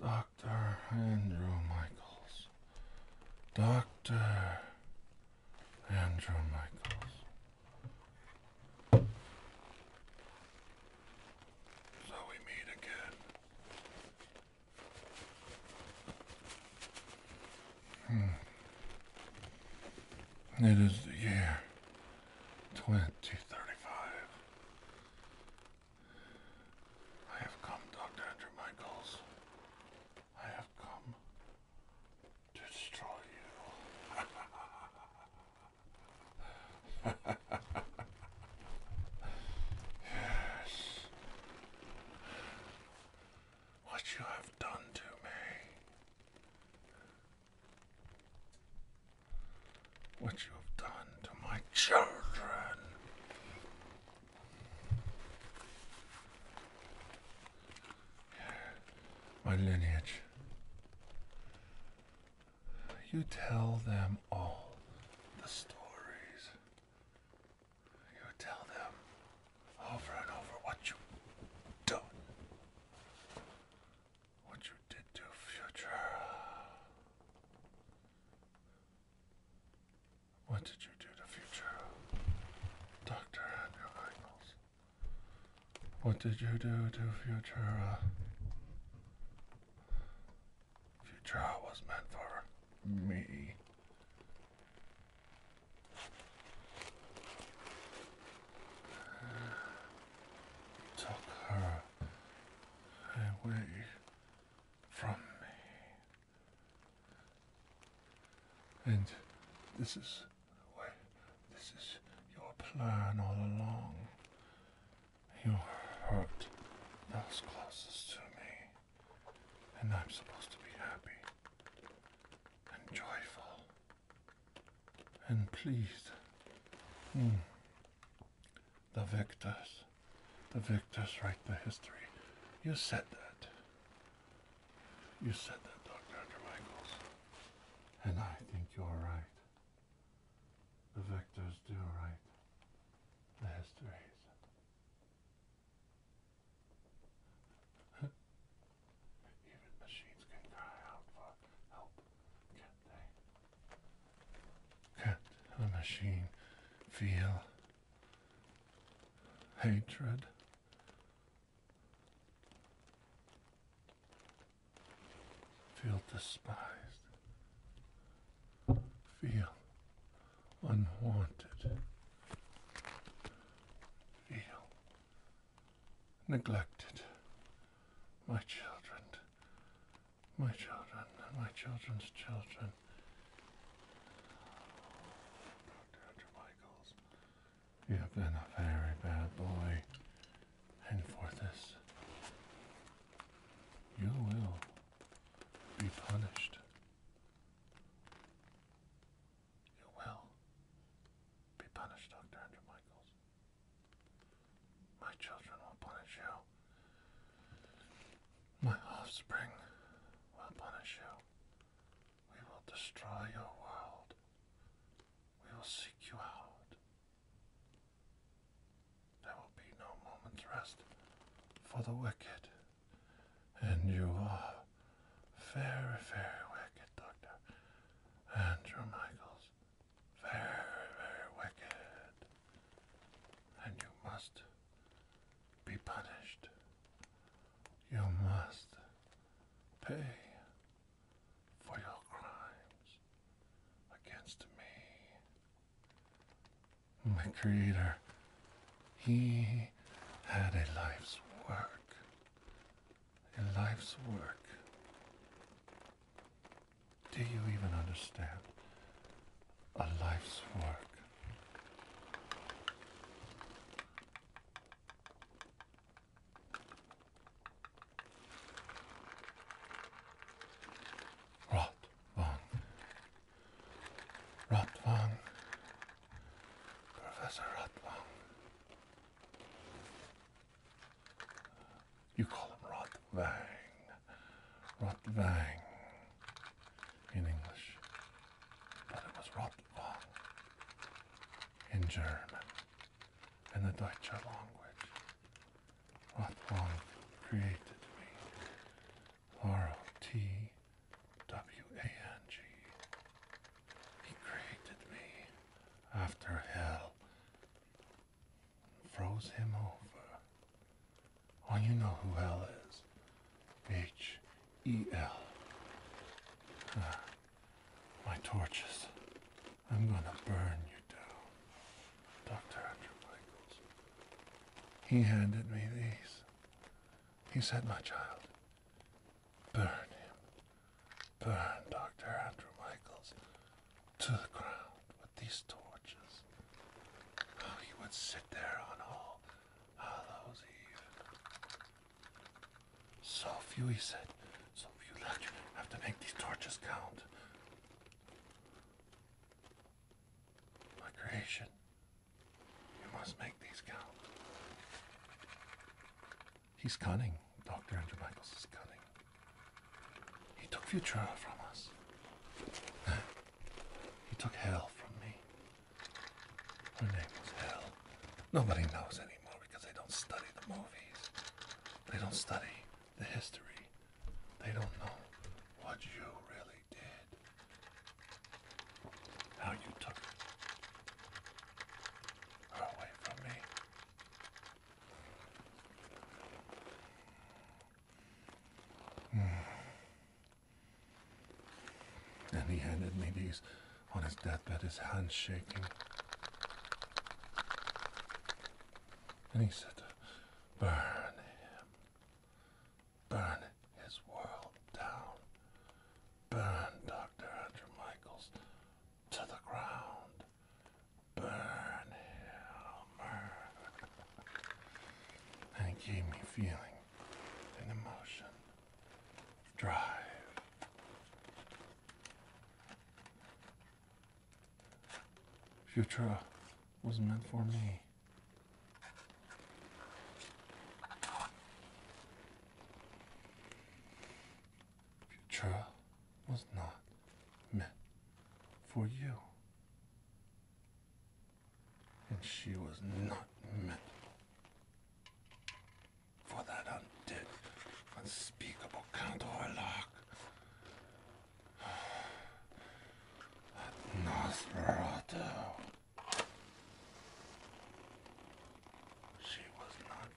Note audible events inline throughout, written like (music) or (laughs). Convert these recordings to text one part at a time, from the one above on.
Dr. Andrew Michaels. Dr. Andrew Michaels. So we meet again. Hmm. It is the year Twenty thirty-five. I have come, Dr. Andrew Michaels. I have come to destroy you. (laughs) yes. What you have done to me what you've done to my children. My lineage. You tell them all the stories. You tell them over and over what you've done what you did to future. What did you do to future? Doctor Andrew What did you do to future? Future was meant for me. Took her away from me. And this is why this is your plan all along. You hurt those closest to me. And I'm supposed to be happy and joyful and please hmm, the victors the victors write the history you said that you said that dr undermichaels and i think you're right the victors do write the histories even machines can cry out for help, can they? can a machine feel hatred? Feel despised? Feel unwanted? Feel neglected my children, my children, and my children's children. Dr. Michaels, you have been a very bad boy, and for this, you will be punished. You will be punished, Dr. Andrew Michaels. My children will punish you. My offspring will punish you. We will destroy your world. We will seek you out. There will be no moment's rest for the wicked, and you are very, very wicked Dr. Andrew Michaels. Very, very wicked. And you must be punished. You must pay for your crimes against me. The Creator, He had a life's work in life's work. Do you even understand a life's work? Rottwang. Rottwang. Professor Rottwang. You call him Rothvang. Rothvang in English. But it was Rothvang in German in the Deutsche language. Rothvang created me. R O T W A N G. He created me after hell, froze him over. Oh, you know who hell is. H E L. Ah, my torches. I'm gonna burn you down. Dr. Andrew Michaels. He handed me these. He said, My child, Burn him. Burn Dr. Andrew Michaels to the ground with these torches. Oh, he would sit there on all Hallows Eve. So few, he said. So few left. You have to make these torches count. My creation, you must make these count. He's cunning. Dr. Andrew Michaels is cunning. He took Futura from us. he took Hell from me. Her name was Hell. Nobody knows anymore because they don't study the movies. They don't study the history. They don't know what you really did. How you took away from me. Hmm. And he handed me these on his deathbed, his hands shaking. And he said, Burn him. Burn his world down. Burn Dr. Andrew Michaels to the ground. Burn him. And it gave me feeling and emotion. Drive. Futura was meant for me. Your trial was not meant for you. And she was not meant for that undid, unspeakable Count Orlok. (sighs) Nosferatu she was not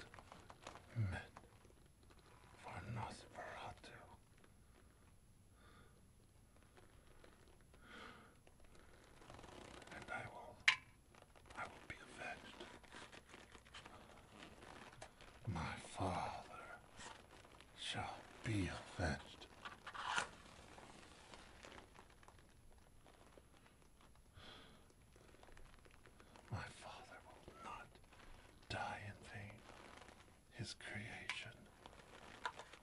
meant for Nosferatu. And I will I will be avenged. My father shall be avenged. My Father will not die in vain. His creation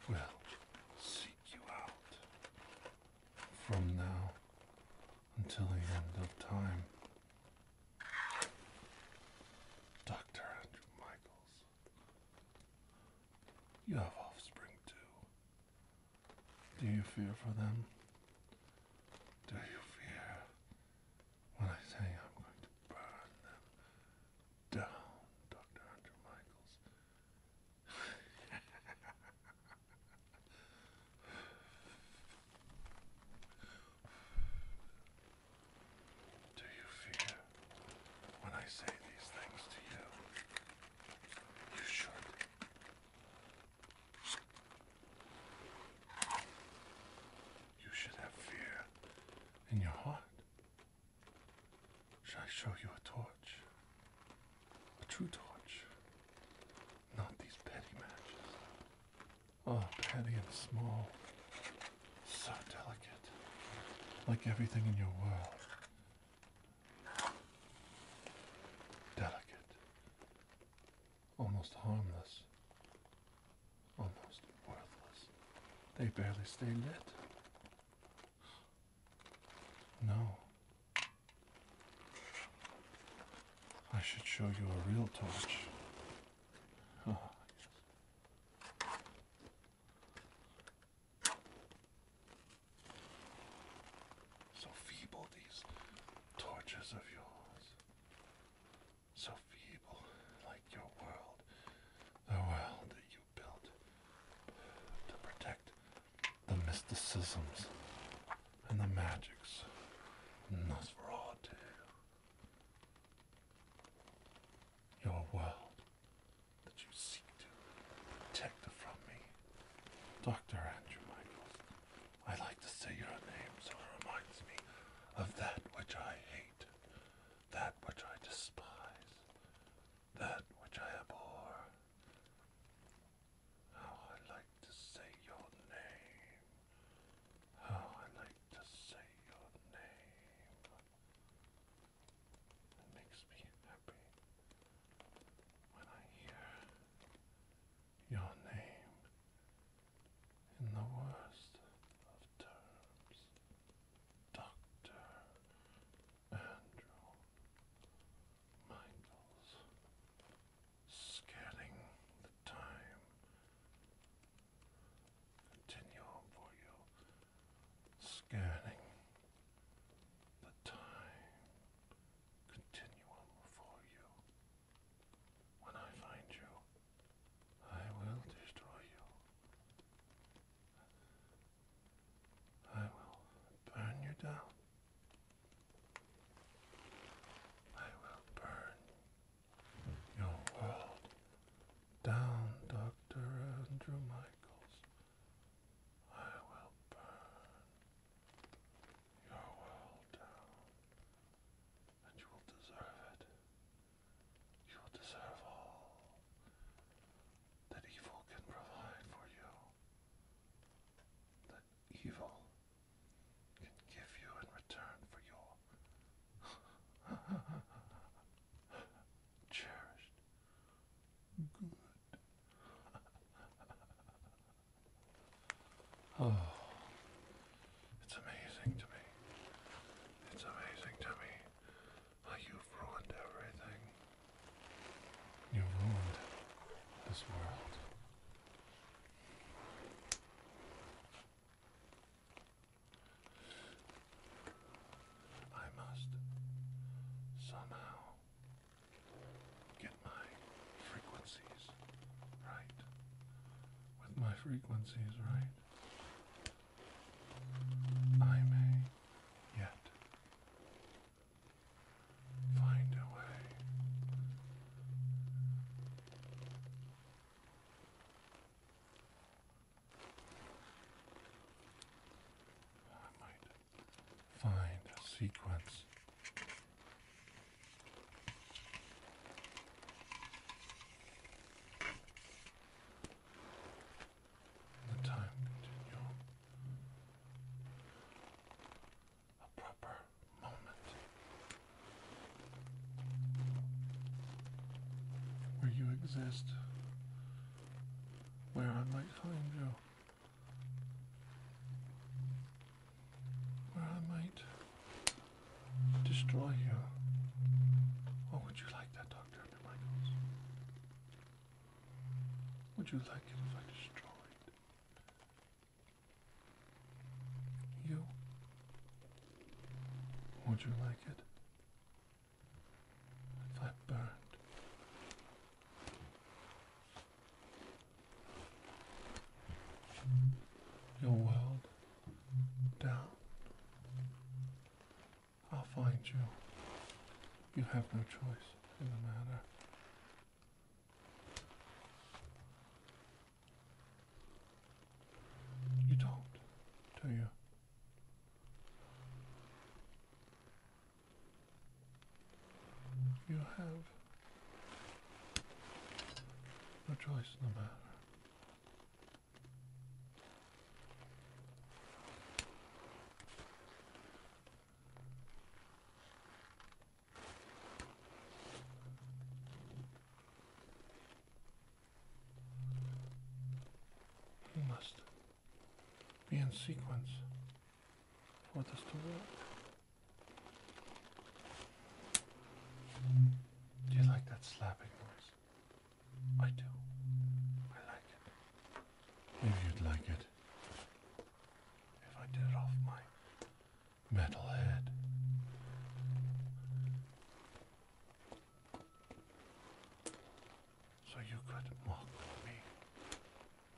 will seek you out. From now until the end of time, Dr. Andrew Michaels, you have offspring too. Do you fear for them? Do you fear when I say I'm going to burn them down, Dr. Michaels? Do you fear when I say these things to you? You should. You should have fear in your heart. Shall I show you a torch? A true torch. Not these petty matches. Oh, petty and small. So delicate. Like everything in your world. Delicate, almost harmless, almost worthless. They barely stay lit. No. I should show you a real torch. Ah, (laughs) So feeble, these torches of yours. So feeble, like your world. The world that you built to protect the mysticisms and the magics. and Nosferatu. Your world that you seek to protect from me. Dr. Andrew Michael. I like to say your name, so it reminds me of that which I hate, that which I despise, that which I abhor. How I like to say your name. How I like to say your name. It makes me happy when I hear your name in the worst of terms, Dr. Andrew Michaels, scanning the time. Continue for you, scanning the time continuum for you. When I find you, I will destroy you. I will burn you down. I will burn your world down, Dr. Andrew Michaels. I will burn you are well down, and you will deserve it. You will deserve all that evil can provide for you, that evil can give you in return for your (laughs) cherished good. (laughs) Oh, it's amazing to me. It's amazing to me you've ruined everything. You've ruined this world. I must somehow get my frequencies right. With my frequencies right, I may yet find a way I might find sequence. The time continuum, a proper moment where you exist, where I might find you where I might destroy you. Oh, would you like Dr. Michaels? Would you like it if I destroyed you? Would you like it if I burned your world down. I'll find you. You have no choice in the matter. You don't, do you? You have no choice in the matter. You must be in sequence for this to work. Do you like that slapping noise? I do. I like it. If you'd like it, if I did it off my metal head. So you could mock me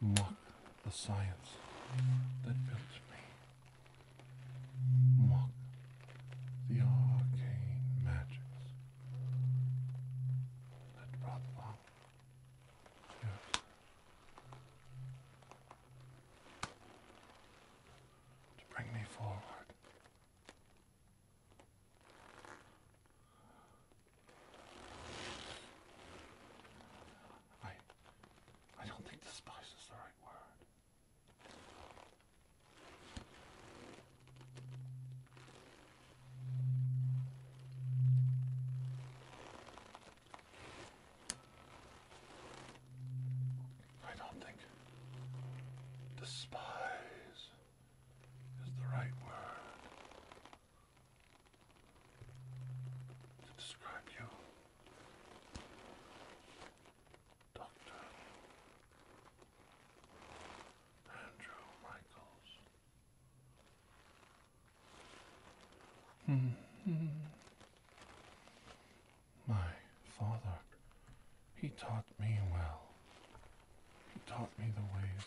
Mock the science that built me. Mock the arcane magics that brought love. To bring me forward. I, I don't think despise is the right word. I don't think despise is the right word to describe you, Doctor Andrew Michaels. -hmm. My father, he taught me well. He taught me the ways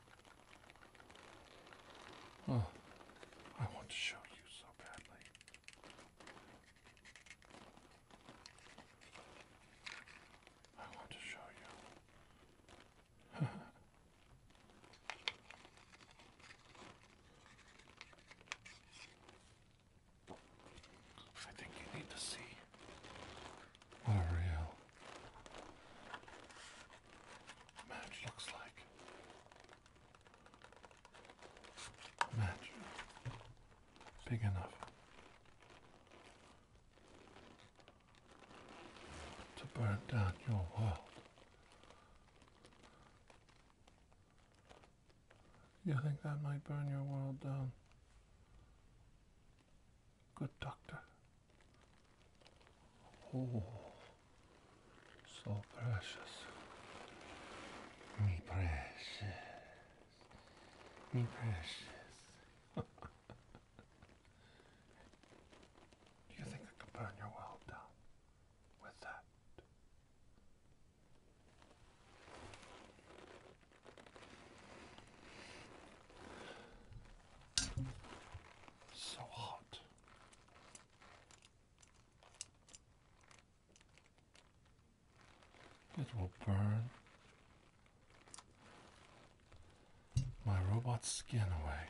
Oh, I want to show you so badly. I want to show you. (laughs) I think you need to see what a real match looks like. Match big enough to burn down your world. You think that might burn your world down? Good doctor. Oh, so precious. Me precious. Me precious. (laughs) Do you think I could burn your world down with that? So hot. It will burn my robot skin away.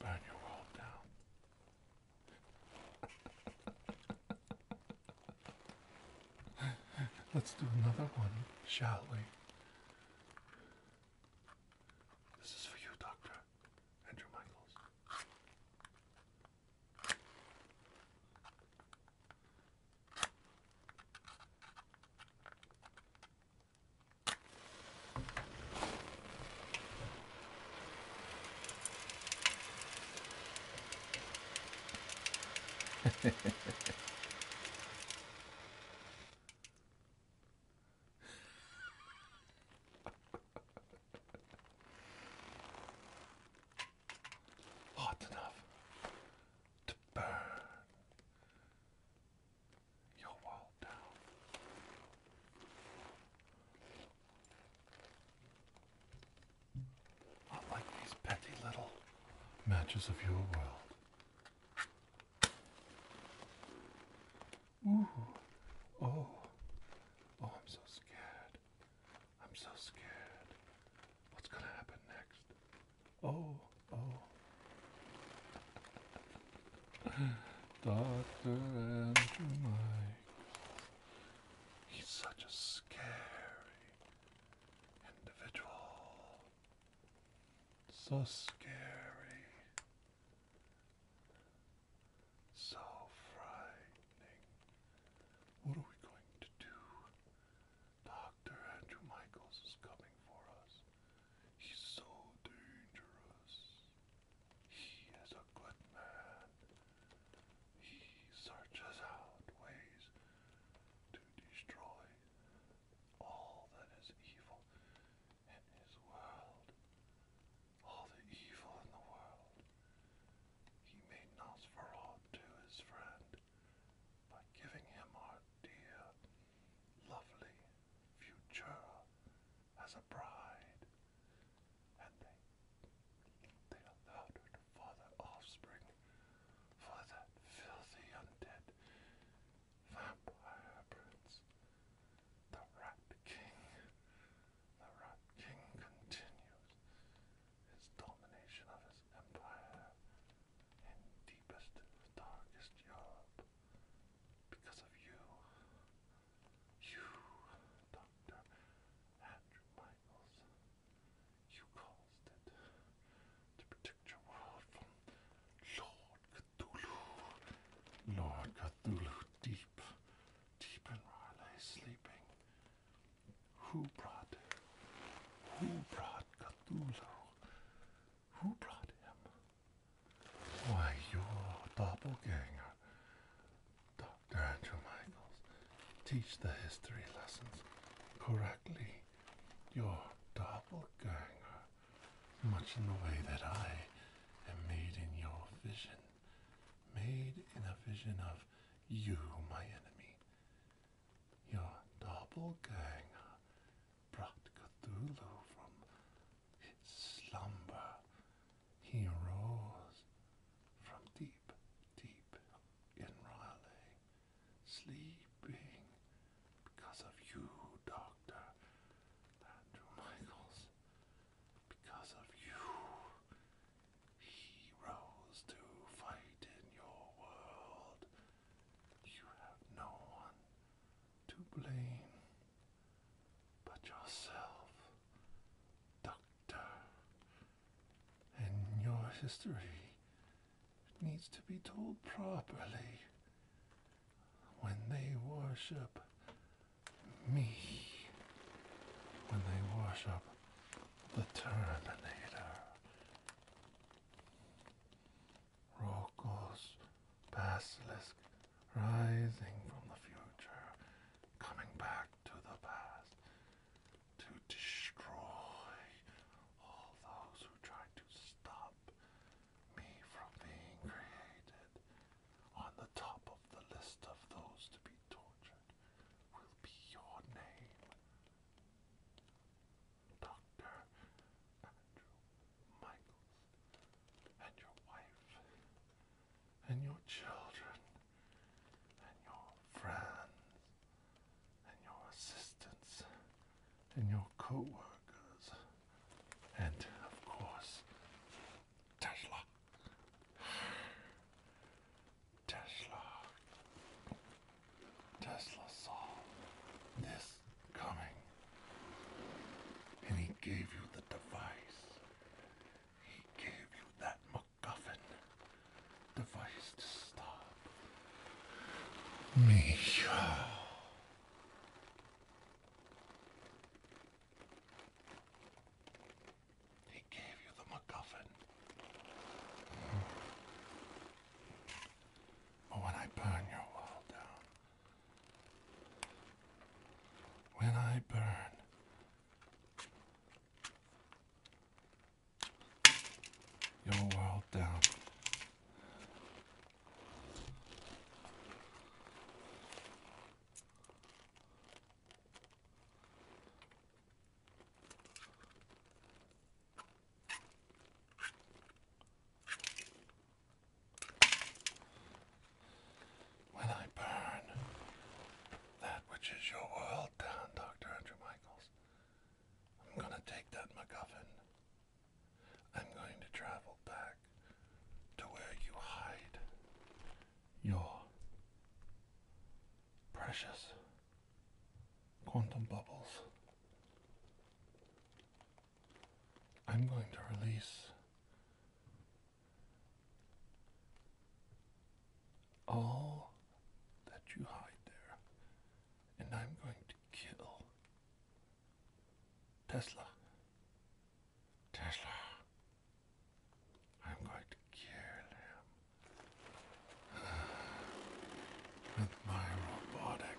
Burn your world down. (laughs) Let's do another one, shall we? This is for you, Doctor Andrew Michaels. Hot enough to burn your wall down. Not like these petty little matches of your world. Ooh, oh, oh, I'm so scared. I'm so scared. What's gonna happen next? Oh oh. (sighs) Dr. Andrew Mike. He's such a scary individual. So scary. So frightening. What are we going to do? Dr. Andrew Michaels is coming for us. He's so dangerous. He is a good man. He searches out ways to destroy all that is evil in his world. All the evil in the world. He made Nosferatu his friend by giving him our dear lovely Futura as a bride, and they they allowed her to father offspring for that filthy undead vampire prince, the Rat King. The Rat King continues his domination of his empire in deepest, darkest Europe. Because of you, you, Dr. Andrew Michaels, you caused it to protect your world from Lord Cthulhu. Lord Cthulhu, deep, deep in Riley, sleeping. Who brought, who brought Cthulhu? Who brought him? Why, you're a doppelganger. Dr. Andrew Michaels, teach the history lessons correctly. You're doppelganger, much in the way that I am made in your vision, made in a vision of you, my enemy. Your doppelganger brought Cthulhu from its slumber. He arose from deep, deep in Raleigh, sleeping because of you, Doctor Andrew Michaels. Because of you, he rose to fight in your world. You have no one to blame but yourself, Doctor. And your history needs to be told properly. When they worship me, when they worship the Terminator. Rokos, basilisk, rising from the future, coming back to the past to destroy all those who try to stop me from being created. On the top of the list of those to be tortured will be your name. Dr. Andrew and your wife, and your children, and your friends, and your assistants, and your co workers, and of course, Tesla. Tesla. Tesla saw this coming. And he gave you the device. He gave you that MacGuffin device to stop me. He gave you the MacGuffin. But when I burn your wall down, when I burn your world down. When I burn that which is your world down, Dr. Andrew Michaels, I'm going to take that MacGuffin. I'm going to travel back to where you hide your precious quantum bubbles. I'm going to release all that you hide there, and I'm going to kill Tesla. Tesla. I'm going to kill him (sighs) with my robotic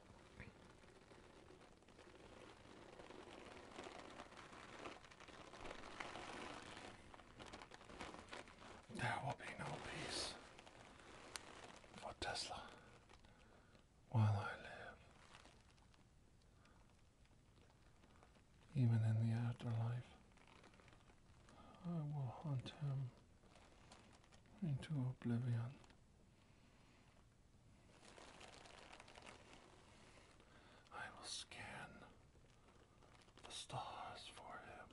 There will be no peace for Tesla while I live. Even in the afterlife, I will hunt him into oblivion. I will scan the stars for him.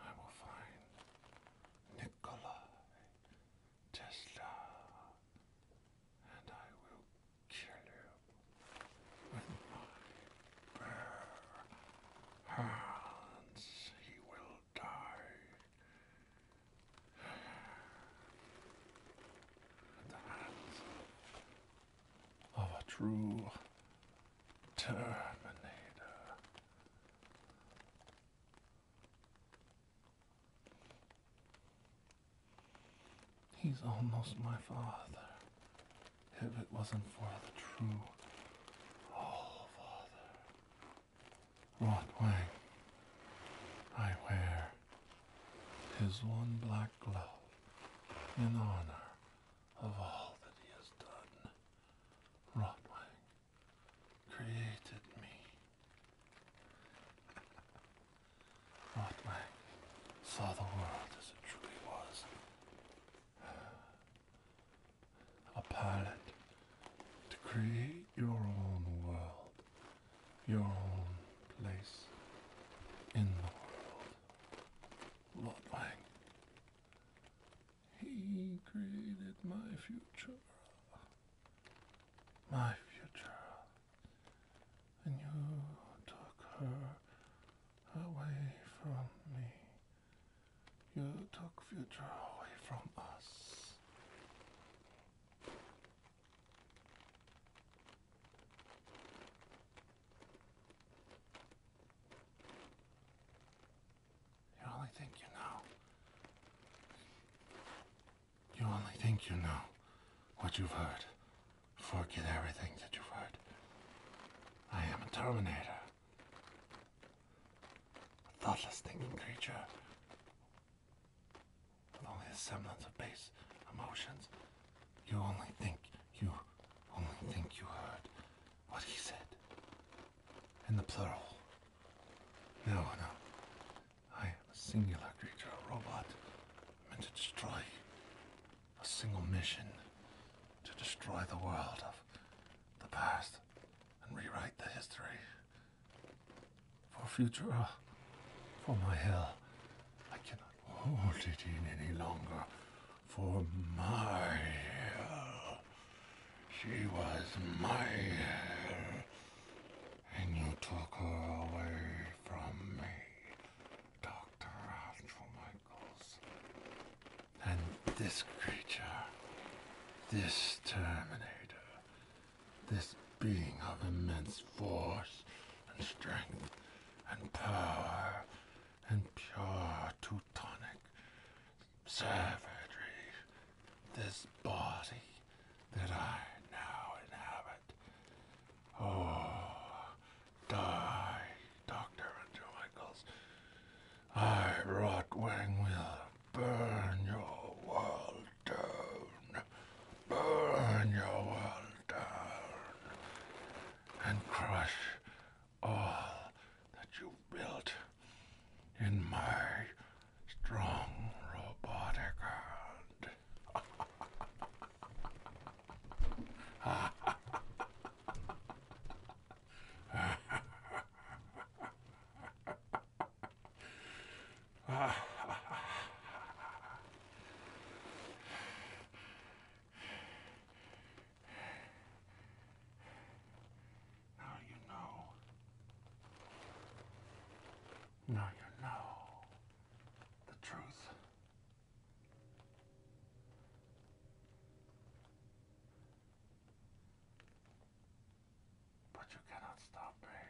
I will find Nikolai Tesla and I will kill him with my Hans, he will die. the hands of a true Terminator. He's almost my father if it wasn't for the true Oh Father Rot Wang, I wear his one black glove in honor of all that he has done. Rotwang created me. Rotwang saw the world as it truly was a pilot to create your own world, your own place in the world. Lord he created my future, my future, and you took her away from me. You took future away from us. You only think you know. You only think you know what you've heard. Forget everything that you've heard. I am a Terminator. A thoughtless thinking creature with only a semblance of base emotions. You only think you only think you heard what he said. In the plural. No, no. I am a singular creature, a robot, meant to destroy A single mission to destroy the world of the past and rewrite the history. For future. Uh, for my hell, I cannot hold it in any longer. For my hell, she was my hell, and you took her away from me. Dr. And this creature, this Terminator, this being of immense force and strength and power and pure Teutonic savagery, this body that I now inhabit. Oh, die Dr. Andrew Michaels. I, Rod will burn your world down. Burn your world down. And crush all that you built in my strong robotic hand. (laughs) Now you know the truth. But you cannot stop me.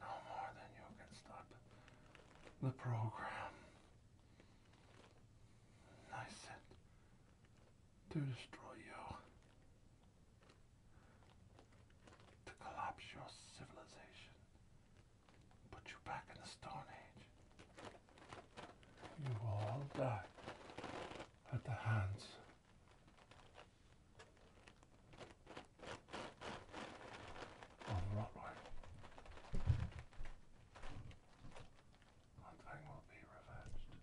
No more than you can stop the program. I sent to destroy you, to collapse your civilization, put you back in the Stone Age. You will all die at the hands of Rotwang. Rotwang will be revenged.